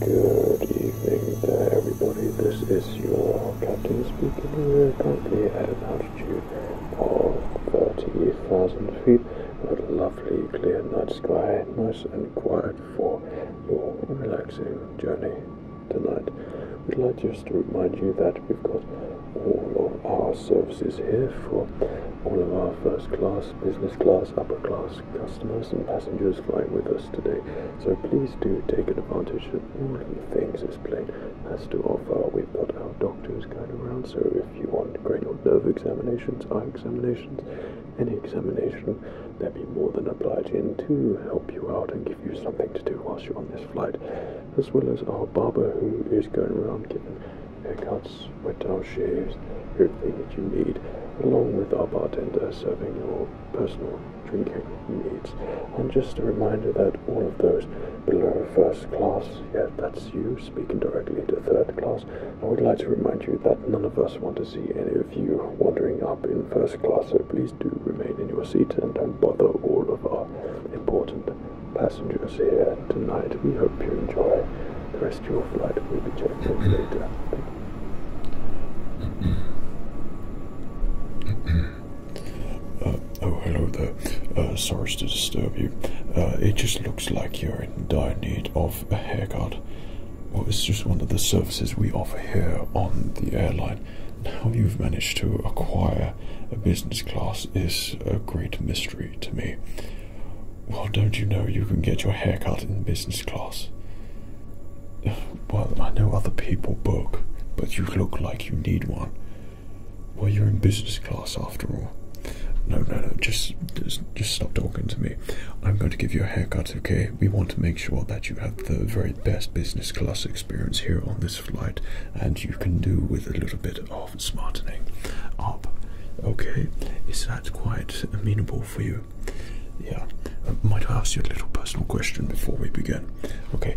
Good evening to everybody. This is your captain speaking. We're currently at an altitude of 30,000 feet with a lovely clear night sky, nice and quiet for your relaxing journey tonight. We'd like just to remind you that we've got all of our services here for all of our first class, business class, upper class customers and passengers flying with us today, so please do take advantage of all the things this plane has to offer. We've got our doctors going around, so if you want cranial nerve examinations, eye examinations, any examination, they'd be more than obliging to help you out and give you something to do whilst you're on this flight, as well as our barber who is going around giving haircuts metal shares, everything that you need, along with our bartender serving your personal drinking needs. And just a reminder that all of those below first class, yeah, that's you speaking directly to third class. I would like to remind you that none of us want to see any of you wandering up in first class, so please do remain in your seat and don't bother all of our important passengers here tonight. We hope you enjoy the rest of your flight. We'll be checking later. Uh, oh, hello there. Uh, sorry to disturb you. Uh, it just looks like you're in dire need of a haircut. Well, it's just one of the services we offer here on the airline. How you've managed to acquire a business class is a great mystery to me. Well, don't you know you can get your hair cut in business class? Well, I know other people book, but you look like you need one. Well, you're in business class after all. No, no, no, just, just, just stop talking to me. I'm going to give you a haircut, okay? We want to make sure that you have the very best business class experience here on this flight, and you can do with a little bit of smartening up. Okay, is that quite amenable for you? you. Yeah, uh, I might ask you a little personal question before we begin. Okay,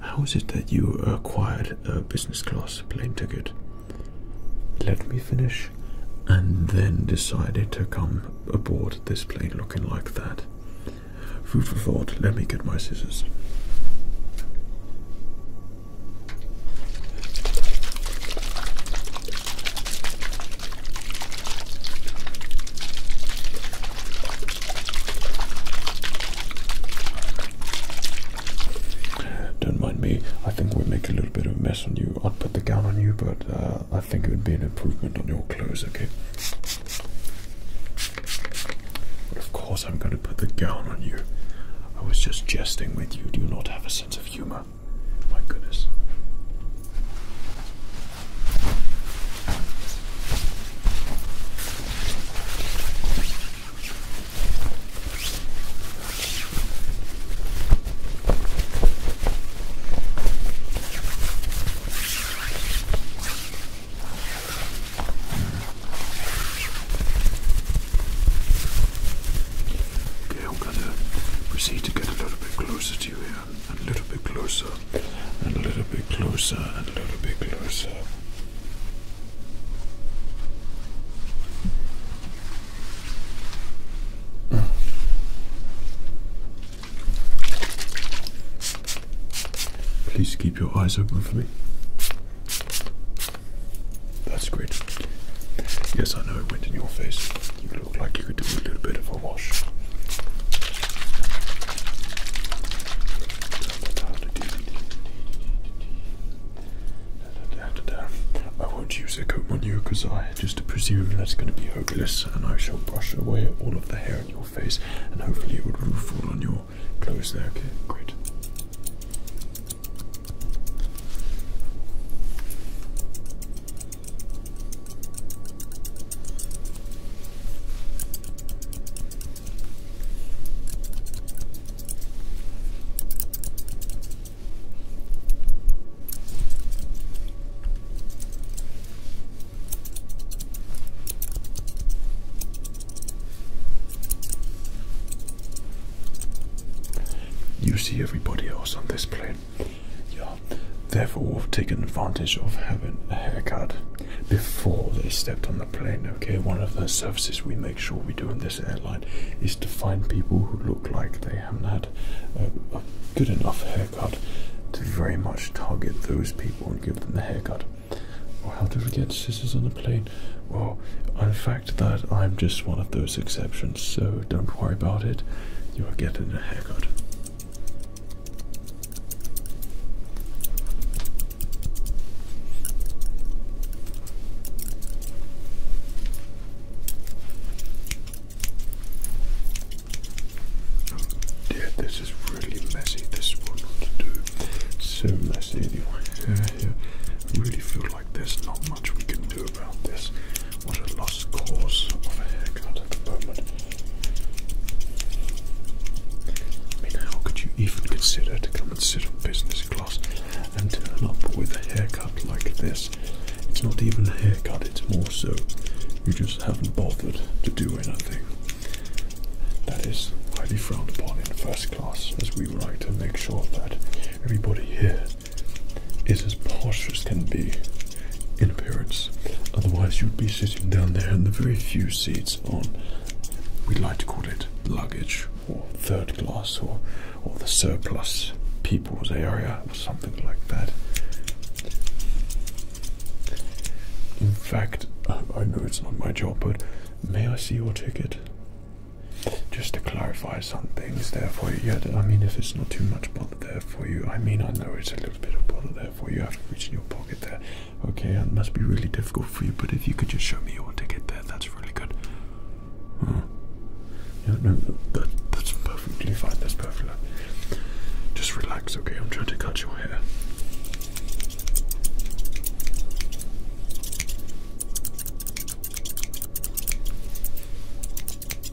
how is it that you acquired a business class plane ticket? Let me finish, and then decided to come aboard this plane looking like that. Food for thought. Let me get my scissors. Don't mind me. I think we make a little bit of a mess on you. I'd put the gown on you, but uh, I think it would be an improvement on your clothes. Okay. But of course, I'm going to put the gown on you. I was just jesting with you. Do you not have a sense of humor? My goodness. Okay, I'm going to proceed to get a little bit closer you here. a little bit closer. And a little bit closer. And a little bit closer. Please keep your eyes open for me. That's great. Yes, I know it went in your face. You look like you could do a little bit of a wash. I won't use a comb on you because I just presume that's going to be hopeless, and I shall brush away all of the hair on your face, and hopefully it will would all on your clothes there. Okay, great. You see everybody else on this planet yeah. Therefore, have taken advantage of having a haircut before they stepped on the plane. Okay, one of the services we make sure we do in this airline is to find people who look like they haven't had a, good enough haircut to very much target those people and give them the haircut. how do we get scissors on the plane? Well, in fact, that I'm just one of those exceptions, so don't worry about it. You are getting a haircut. Yeah, this is really messy. This is what not to do. So messy anyway. Yeah, yeah. I really feel like there's not much we can do do about this. What a lost cause of a haircut at the moment. I mean, how could you even consider to come and sit on business class and turn up with a haircut like this? It's not even a haircut, it's more so you just haven't bothered to do anything. That is highly frowned upon in first class, as we would like to make sure that everybody here is as posh as can be in appearance. Otherwise, you'd be sitting down there in the very few seats on, we'd like to call it luggage or third class or, or the surplus people's area or something like that. In fact, I, know it's not my job, but may I see your ticket? Just to clarify some things there for you. Yeah, I mean, if it's not too much bother there for you, I mean, I know it's a little little bit of bottle there for you. I have to reach in your pocket there. Okay, it must be really difficult for you, but if you could just show me your ticket there, that's really good. Oh. Yeah, no, that's perfectly fine. That's perfect. Just relax, okay? I'm trying to cut your hair.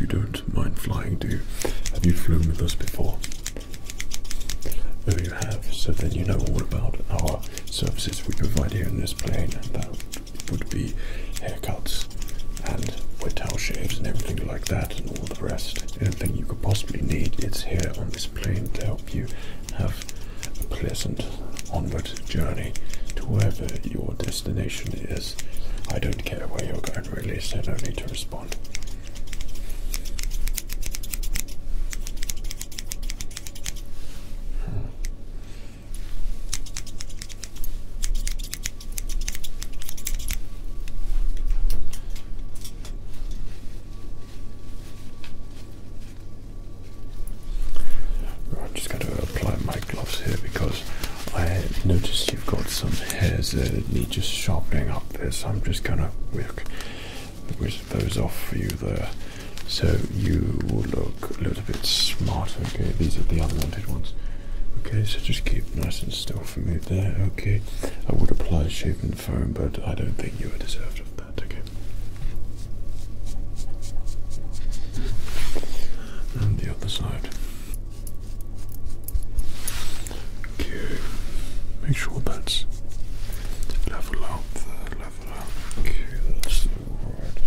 You don't mind flying, do you? Have you flown with us before? Oh, you have. So then you know all about our services we provide here in this plane. that would be haircuts and wet towel shaves and everything like that and all the rest. Anything you could possibly need, it's here on this plane to help you have a pleasant onward journey to wherever your destination is. I don't care where you're going, really, so no need to respond. I'm just going to apply my gloves here because I noticed you've got some hairs there that need just sharpening up there, so I'm just going to whisk, those off for you there. So you will look a little bit smarter. Okay, these are the unwanted ones. Okay, so just keep nice and still for me there. Okay, I would apply shape and foam, but I don't think you would deserve and the other side. Okay. Make sure that's level up level up. Okay, that's alright.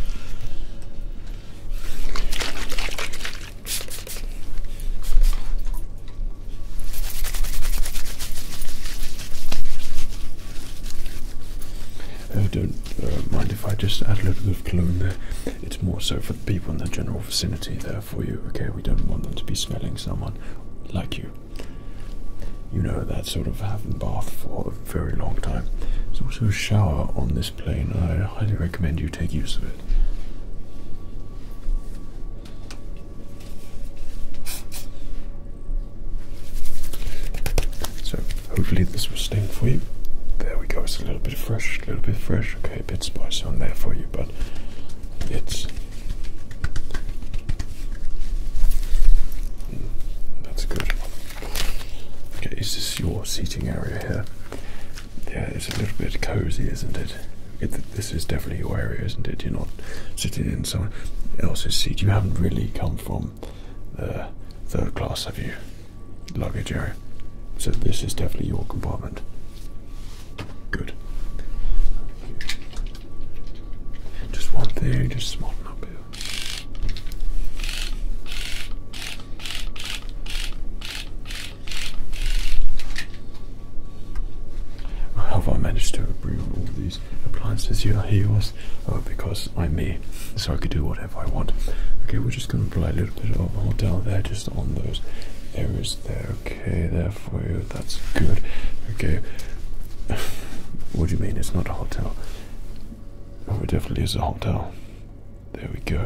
I uh, don't uh, mind if I just add a little bit of cologne there. It's more so for the people in the general vicinity there for you, okay? We don't want them to be smelling someone like you. You know that sort of have bath for a very long time. There's also a shower on this plane. I highly recommend you take use of it. So hopefully this will sting for you. There we go. It's a little bit fresh, a little bit fresh. Okay, a bit spicy on there for you, but it's mm, that's good. Okay, is this your seating area here? Yeah, it's a little bit cozy, isn't it this is definitely your area, isn't it? You're not sitting in someone else's seat. You haven't really come from the uh, third class of you, luggage area. So this is definitely your compartment. Good. Just one thing, just smarten up here. have I managed to bring all these? use appliances here, he was, uh, because I'm me, so I could do whatever I want. Okay, we're just gonna apply a little bit of hotel there, just on those areas there. Okay, there for you. That's good. Okay. what do you mean it's not a hotel? Oh, it definitely is a hotel. There we go.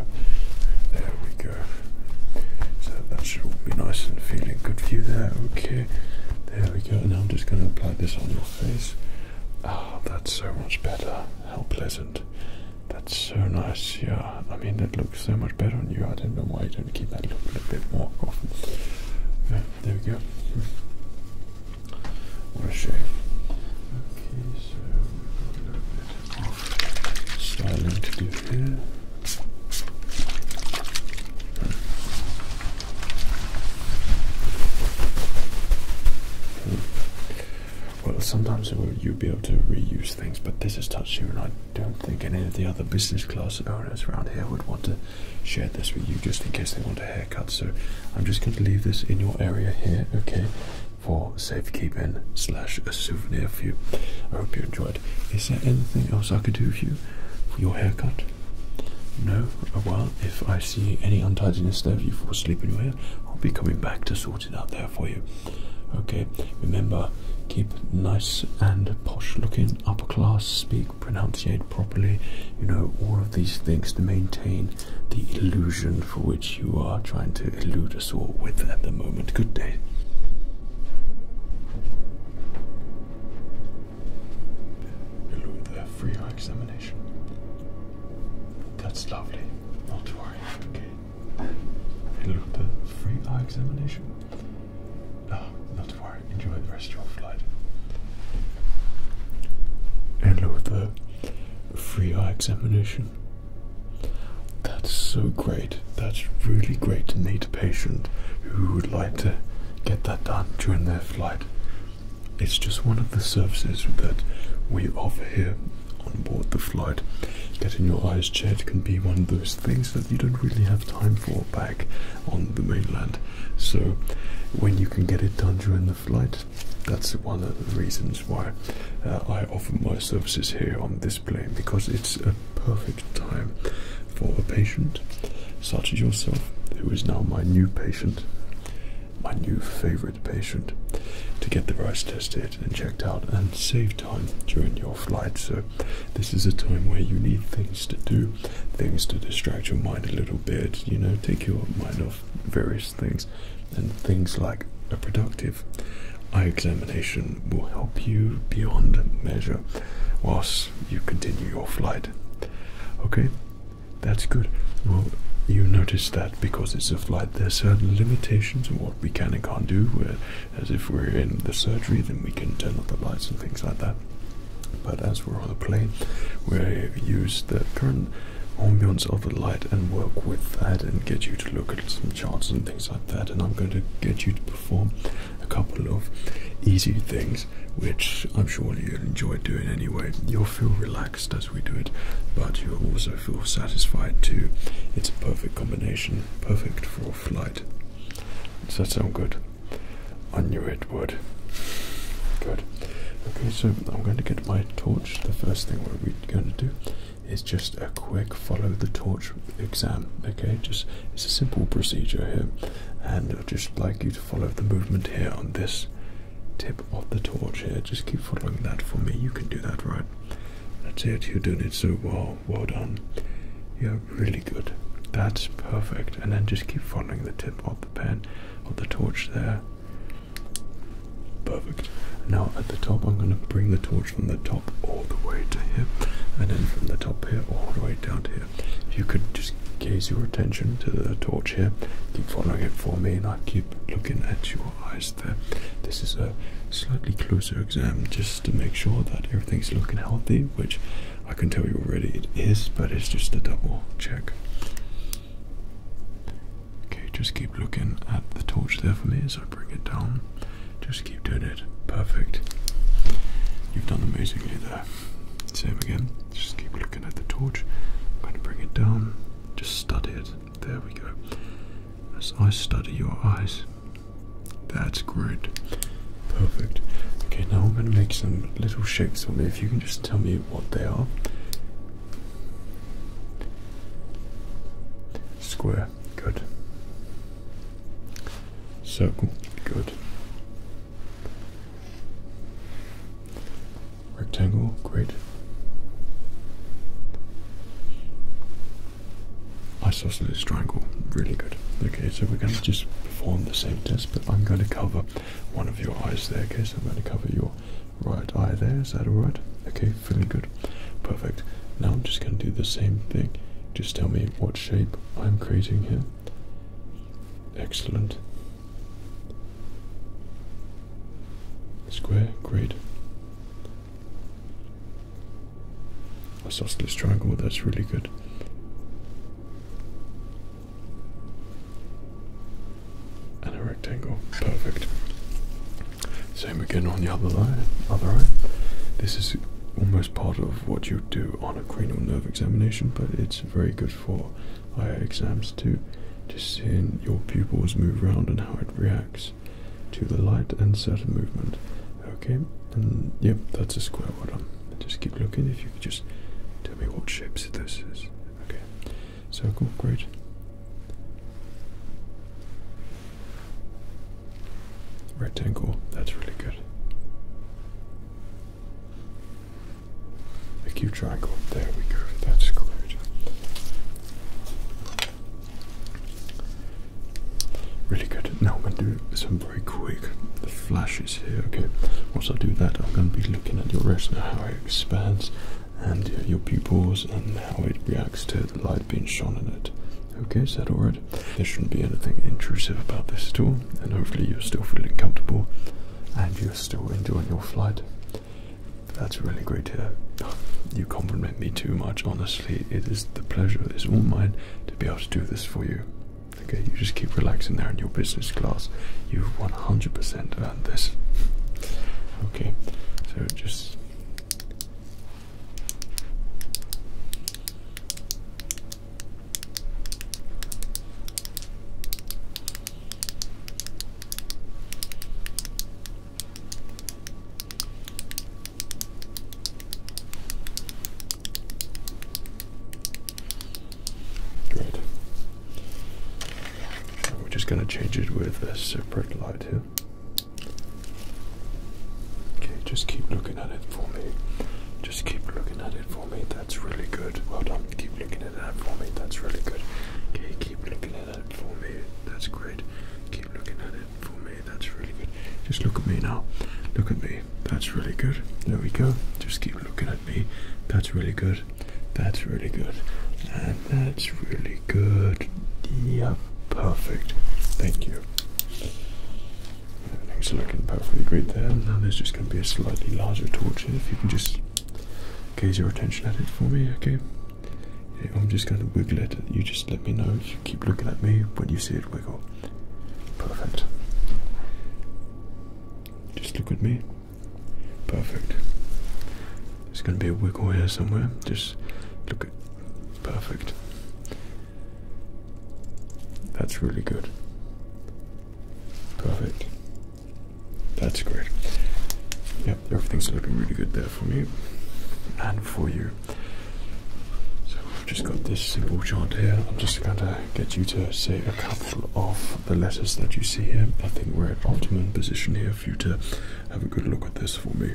There we go. So that should be nice and feeling good for you there. Okay. There we go. Now I'm just going to apply this on your face. Ah, oh, that's so much better. How pleasant. That's so nice. Yeah, I mean, that looks so much better on you. I don't know why you don't keep that look a little bit more there we go. Hmm. What a shame. Okay, so a little bit of styling to do here. Well, sometimes you'll be able to reuse things, but this has touched you, and I don't think any of the other business class owners around here would want to share this with you just in case they want a haircut. So I'm just going to leave this in your area here, okay, for safekeeping slash a souvenir for you. I hope you enjoyed. Is there anything else I could do for you for your haircut? No? Well, if I see any untidiness there, if you fall asleep anywhere, I'll be coming back to sort it out there for you. Okay, remember, keep nice and posh looking, upper class, speak, pronunciate properly, you know, all of these things to maintain the illusion for which you are trying to elude us all with at the moment. Good day. Elude their free examination. That's lovely. Not to worry. Okay. And look the free eye examination. Oh, not to worry. Enjoy the rest of your flight. And look the free eye examination. That's so great. That's really great to meet a patient who would like to get that done during their flight. It's just one of the services that we offer here on board the flight. Getting your eyes checked can be one of those things that you don't really have time for back on the mainland. So, when you can get it done during the flight, that's one of the reasons why uh, I offer my services here on this plane because it's a perfect time for a patient such as yourself, who is now my new patient, my new favorite patient to get the rice tested and checked out and save time during your flight. So, this is a time where you need things to do, things to distract your mind a little bit, you know, take your mind off various things, and things like a productive eye examination will help you beyond measure whilst you continue your flight. Okay, that's good. Well, you notice that because it's a flight, there's certain limitations on what we can and can't do. Uh, as if we're in the surgery, then we can turn off the lights and things like that. But as we're on the plane, we use the current ambience of the light and work with that and get you to look at some charts and things like that. And I'm going to get you to perform a couple of easy things, which I'm sure you'll enjoy doing anyway. You'll feel relaxed relaxed as we do it, but you also feel satisfied too. It's a perfect combination, perfect for flight. Does that sound good? I knew it would. Good. Okay, so I'm going to get my torch. The first thing we're going to do is just a quick follow the torch exam. Okay, just it's a simple procedure here, and I'd just like you to follow the movement here on this tip of the torch here. Just keep following that for me. You can do that, right? That's it. You're doing it so well. Well done. You're really good. That's perfect. And then just keep following the tip of the pen, of the torch there. Perfect. Now at the top, I'm going to bring the torch from the top all the way to here, and then from the top here all the way down to here. If you could just gaze your attention to the torch here, keep following it for me, keep looking at your eyes there. This is a slightly closer exam just to make sure that everything's looking healthy, which I can tell you already it is, but it's just a double check. Okay, just keep looking at the torch there for me as I bring it down. Just keep doing it. Perfect. You've done amazingly there. Same again. Just keep looking at the torch. I'm going to bring it down. Just study it. There we go. As I study your eyes. That's great. Perfect. Okay, now I'm going to make some little shapes for me. If you can just tell me what they are. Square. Good. Circle. Good rectangle, great. Isosceles triangle, really good. Okay, so we're going to just perform the same test, but I'm going to cover one of your eyes there, okay? So I'm going to cover your right eye there, is that alright? Okay, feeling good. Perfect. Now I'm just going to do the same thing. Just tell me what shape I'm creating here. Excellent. Square, great. Isosceles triangle, that's really good. And a rectangle, perfect. Same again on the other line, other eye. This is almost part of what you do on a cranial nerve examination, but it's very good for via exams to just seeing your pupils move around and how it reacts to the light and certain movement. Okay, and yep, that's a square bottom. Um, just keep looking if you could just tell me what shapes this is. Okay, circle, great. Rectangle, that's really good. A cube, triangle, there we go, that's good. Really good. Now I'm going to do some very quick The flash is here. Okay, once I do that, I'm going to be looking at your retina, uh, how it expands, and uh, your pupils, and how it reacts to the light being shone on it. Okay, is that alright? There shouldn't be anything intrusive about this at all, and hopefully, you're still feeling comfortable and you're still enjoying your flight. That's really great to You compliment me too much, honestly. It is the pleasure, it's all mine to be able to do this for you. Okay, you just keep relaxing there in your business class. You've 100% earned this. Okay, so just. Great. We're just going to change it with a separate light here. Okay, just keep looking at it for me. Just keep looking at it for me. That's really good. Well done. Keep looking at that for me. That's really good. Okay, keep looking that's great. Keep looking at it for me. That's really good. Just look at me now. Look at me. That's really good. There we go. Just keep looking at me. That's really good. That's really good. And that's really good. Yeah, perfect. Thank you. Everything's looking perfectly great there. Now there's just going to be a slightly larger torch here. If you can just gaze your attention at it for me, okay? I'm just going to wiggle it. You just let me know. You keep looking at me when you see it wiggle. Perfect. Just look at me. Perfect. There's going to be a wiggle here somewhere. Just look at. Perfect. That's really good. Perfect. That's great. Yep, everything's looking really good there for me and for you. So I've just got this simple chart here. I'm just going to get you to say a couple of the letters that you see here. I think we're at optimum position here for you to have a good look at this for me.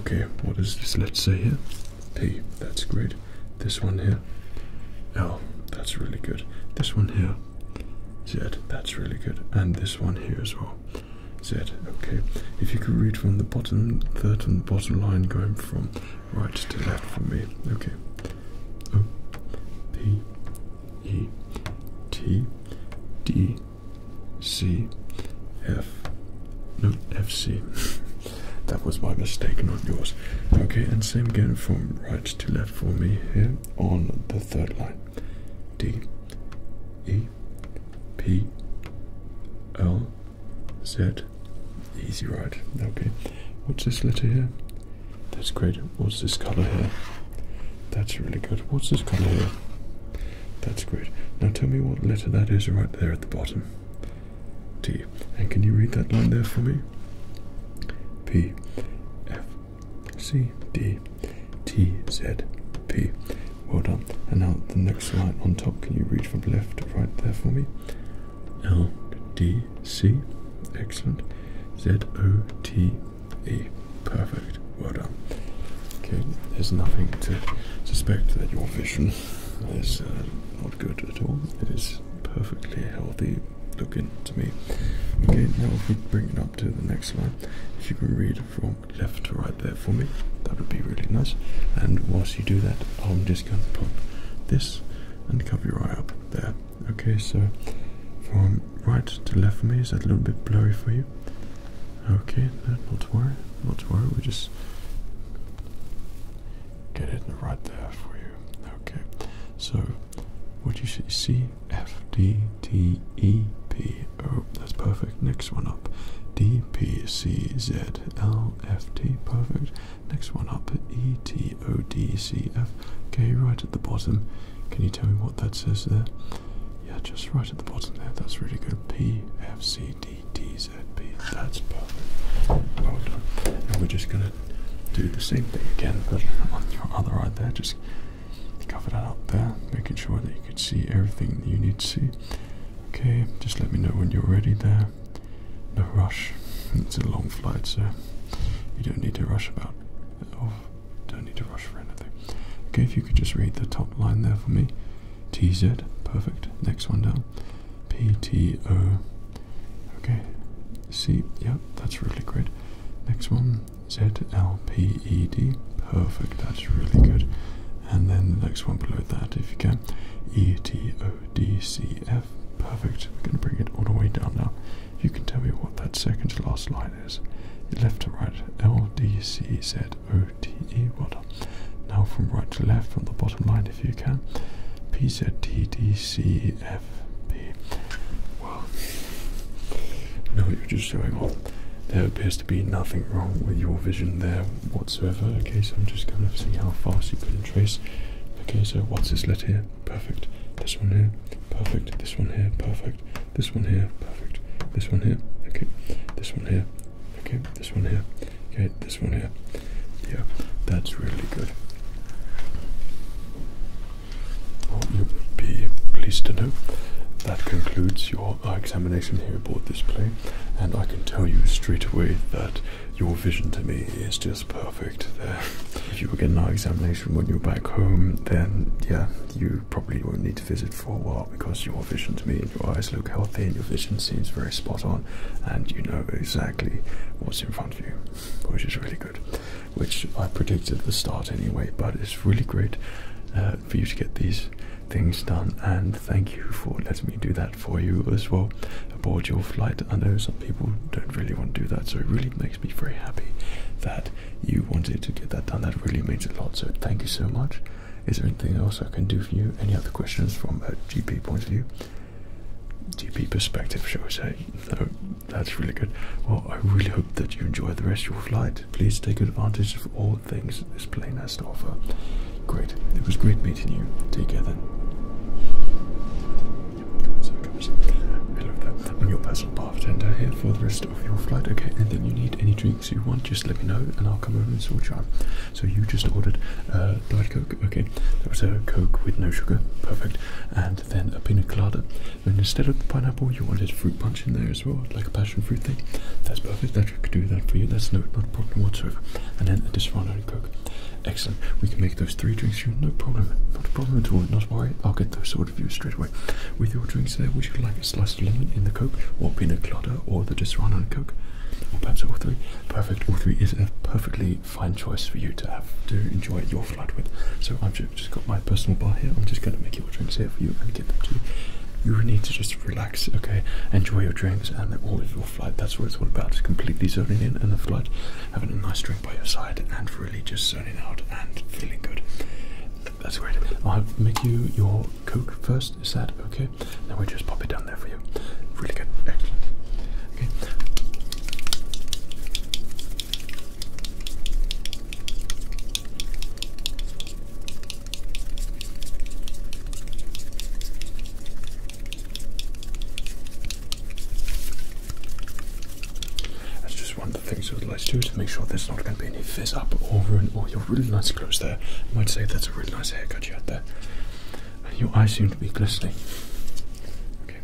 Okay, what is this? Let's say here. P, that's great. This one here. L, that's really good. This one here. Z, that's really good. And this one here as well. Z. Okay. If you could read from the bottom, third and bottom line, going from right to left for me. Okay. O P E T D C F. No, F C. that was my mistake, not yours. Okay, and same again from right to left for me here on the third line. D E P L Z. Easy right. Okay. What's this letter here? That's great. What's this color here? That's really good. What's this color here? That's great. Now tell me what letter that is right there at the bottom. T. And can you read that line there for me? P F C D TZP. Well done. And now the next line on top, can you read from left to right there for me? L D C. Excellent. Z O T E. Perfect. Well done. Okay, there's nothing to suspect that your vision is uh, not good at all. It is perfectly healthy looking to me. Okay, now if we bring it up to the next line, if you can read from left to right there for me. That would be really nice. And whilst you do that, I'm just going to pop this and cover your eye up there. Okay, so from right to left for me, is that a little bit blurry for you? Okay, not to worry, not to worry, we just get it right there for you. Okay, so what you see, FD T E P O. Oh, that's perfect. Next one up. D P C Z L F T. Perfect. Next one up. E T O D C F. Okay, right at the bottom. Can you tell me what that says there? Yeah, just right at the bottom there. That's really good. P F C D D Z P. That's perfect. Well done. And we're just gonna do the same thing again, but on your other eye there. Just cover that up there, making sure that you can see everything you need to see. Okay, just let me know when you're ready there. No rush. It's a long flight, so you don't need to rush about. Oh, don't need to rush for anything. Okay, if you could just read the top line there for me. TZ, perfect. Next one down. PTO. Okay. see, yeah, that's really great. Next one, ZLPED. Perfect, that's really good and then the next one below that if you can. E T O D C F. Perfect. We're going to bring it all the way down now. You can tell me what that second to last line is. Left to right. L D C Z O T E. Well Now from right to left from the bottom line if you can. P Z T D C F P. Well, now you're just showing off there appears to be nothing wrong with your vision there whatsoever. Okay, so I'm just going to see how fast you can trace. Okay, so what's this letter here? Perfect. This one here, perfect. This one here, perfect. This one here, perfect. This one here, okay. This one here, okay. This one here, okay. This one here. Yeah, that's really good. Well, will be pleased to know that concludes your your examination here aboard this plane, and I can tell you straight away that your vision to me is just perfect there. If you were getting our examination when you're back home, then yeah, you probably won't need to visit for a while because your vision to me and your eyes look healthy and your vision seems very spot on and you know exactly what's in front of you, which is really good. Which I predicted at the start anyway, but it's really great uh, for you to get these things done. And thank you for letting me do that for you as well aboard your flight. I know some people don't really want to do that, so it really makes me very happy that you wanted to get that done. That really means a lot. So thank you so much. Is there anything else I can do for you? Any other questions from a GP point of view? GP perspective, shall we say? that's really good. Well, I really hope that you enjoy the rest of your flight. Please take advantage of all things this plane has to offer. Great. It was great meeting you. Take care then. I love that. I'm your personal bartender here for the rest of your flight. Okay, and then you need any drinks you want, just let me know and I'll come over and sort you out. So you just ordered a uh, Diet Coke, okay. That was a Coke with no sugar, perfect. And then a pineapple colada. Then instead of the pineapple, you wanted fruit punch in there as well, like a passion fruit thing. That's perfect. That we could do that for you. That's no not a problem whatsoever. And then a disfranoid coke. Excellent. We can make those three drinks for you. No problem. Not a problem at all. Not worry. I'll get those sorted for you straight away. With your drinks there, would you like a sliced lemon in the coke, or pina colada, or the disfranoid coke? Or perhaps all three. Perfect. All three is a perfectly fine choice for you to have to enjoy your flight with. So I've just got my personal bar here. I'm just going to make your drinks here for you and get them to you. You need to just relax okay? Enjoy your drinks and all of your flight. That's what it's all about. It's completely zoning in and the flight, having a nice drink by your side and really just zoning out and feeling good. That's great. I'll make you your Coke first. Is that okay? Then we'll just pop it down there for you. Really good. That's just one of the things I would like to do to make sure there's not going to be any fizz up or ruin all your really nice clothes there. I might say that's a really nice haircut you had there. Your eyes seem to be glistening. Okay.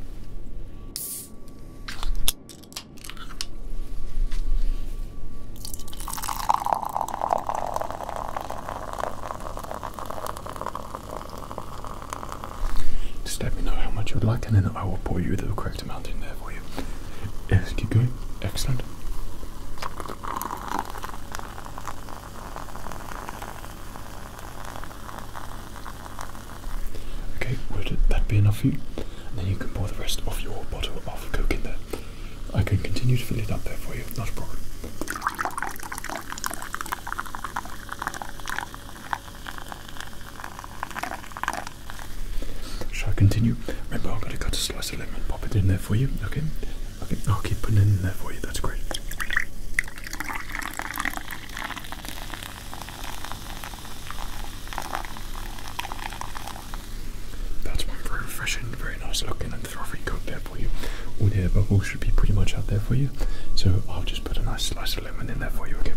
Just let me know how much you'd like, and then I will pour you the correct amount in there for you. keep going. Excellent. Okay, would that be enough for you? And then you can pour the rest of your bottle of Coke in there. I can continue to fill it up there for you, not a problem. Shall I continue? Remember, I've got to cut a slice of lemon, pop it in there for you, okay? Okay, I'll keep putting it in there for you, that's great. That's one very fresh and very nice looking, and frothy coat there for you. All the air bubbles should be pretty much out there for you. So I'll just put a nice slice of lemon in there for you, again.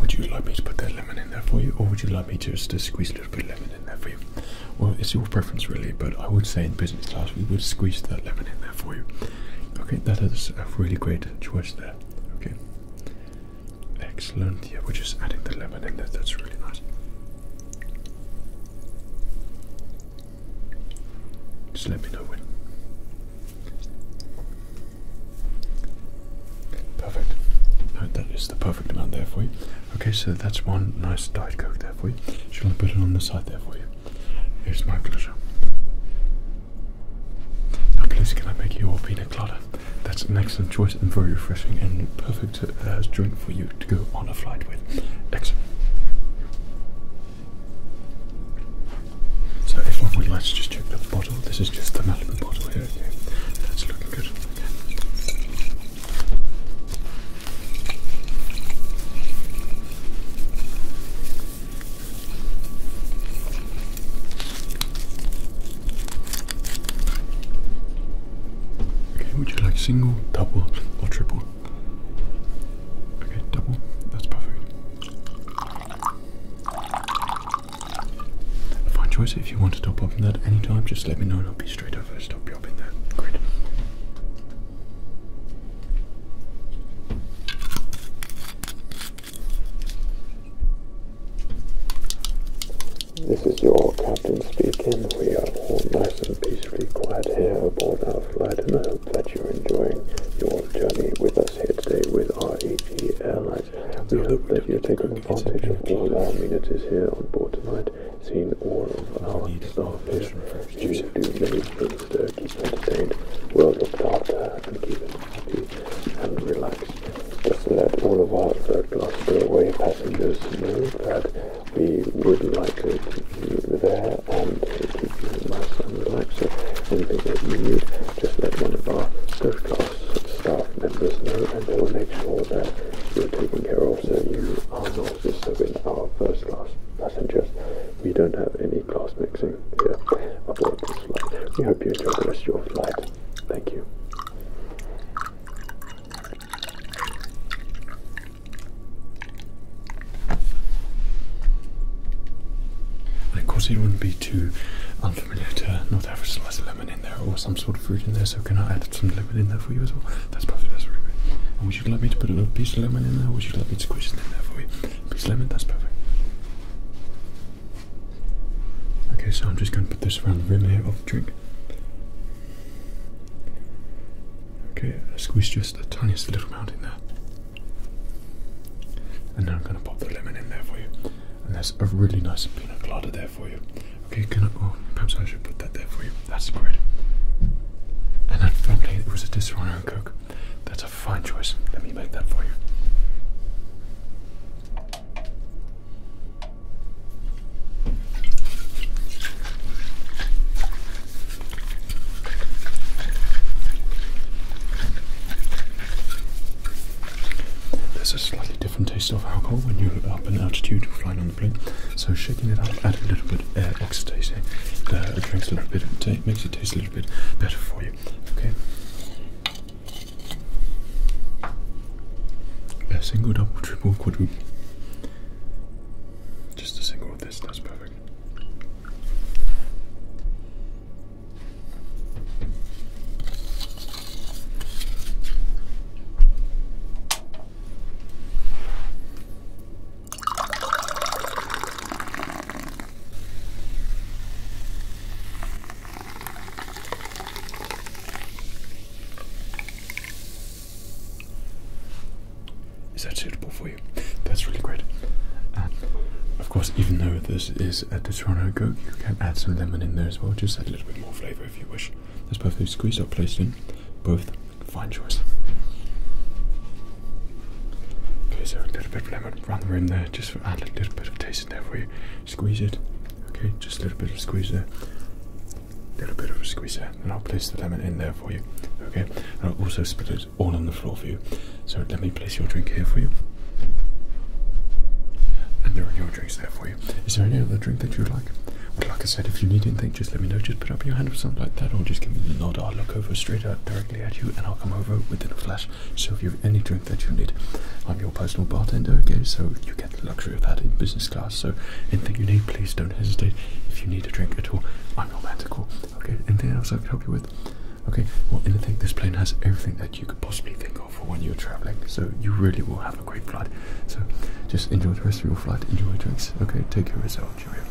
would you like me to put that lemon in there for you, or would you like me just to squeeze a little bit of lemon in there for you? Well, it's your preference really, but I would say in business class we would squeeze that lemon in there for you. Okay, that is a really great choice there. Okay, excellent. Yeah, we're just adding the lemon in there. That's really nice. Just let me know when. Perfect. that is the perfect amount there for you. Okay, so that's one nice diet coke there for you. Shall I put it on the side there for you? It's my pleasure. Now, please, can I make you all pina That's an excellent choice and very refreshing and perfect uh, drink for you to go on a flight with. Excellent. So if one would like to just check the bottle, this is just the Malibu bottle here, okay? That's looking good. Okay, would you like single, double, or triple? Okay, double, that's perfect. Fine choice. If you want to stop up in that anytime, just let me know and I'll be straight over to stop you up in Great. This is your captain speaking. We are all nice and peacefully quiet here aboard our flight and I hope that you're enjoying your journey with us here today with us. REG We hope that you have taken advantage of all our amenities here on board tonight, seeing all of our staff here. You do many things to keep entertained, well looked after, and keep them and relaxed. Just let all of our third class railway passengers know that we would like to keep you there and nice and relaxing. Anything that you need, just let one of our first class staff members know and they will make sure that you're taken care of so you are not disturbing our first class passengers. We don't have any class mixing here aboard this flight. We hope you enjoy the rest of your flight. Thank you. Of course, it wouldn't be too unfamiliar to North Africa. slice of lemon in there or some sort of fruit in there. So can I add some lemon in there for you as well? That's perfect. That's really good. would you like me to put a little piece of lemon in there? would you like me to squeeze it in there for you? Piece of lemon. That's perfect. Okay, so I'm just going to put this around the rim here of the drink. Okay, squeeze just the tiniest little amount in there. And now I'm going to pop the lemon in there for you. And there's a really nice peanut colada there for you. Okay, can I? Oh, perhaps I should put that there for you. That's great. And then finally, it was a Disaronno and Coke. That's a fine choice. Let me make that for you. There's a slightly different taste of alcohol when you're up in altitude flying on the plane, so shaking it up, add a little bit of uh, air eh? uh, it drinks a little bit, makes it taste a little bit better for you. Okay. A single, double, triple, quadruple. Just a single of this, that's perfect. Is that suitable for you? That's really great. of course, even though this is at the Toronto goat. You can add some lemon in there as well, just add a little bit more flavour if you wish. That's perfectly squeezed up, placed in. Both fine choice. Okay, so a little bit of lemon around the rim there, just add a little bit of taste in there for you. Squeeze it. Okay, just a little bit of squeeze there. A little bit of a squeeze there, and I'll place the lemon in there for you. Okay, and I'll also split it all on the floor for you. So let me place your drink here for you. And there are your drinks there for you. Is there any other drink that you'd like? Well, like I said, if you need anything, just let me know. Just put up your hand or something like that, or just give me the nod. I'll look over straight out directly at you, and I'll come over within a flash. So if you have any drink that you need, I'm your personal bartender, okay? So you get the luxury of that in business class. So anything you need, please don't hesitate. If you need a drink at all, I'm romantical, okay? Anything else I can help you with? Okay, well, in the thing, this plane has everything that you could possibly think of for when you're traveling, so you really will have a great flight. So, just enjoy the rest of your flight, enjoy your drinks, okay? Take care of yourself, cheerio.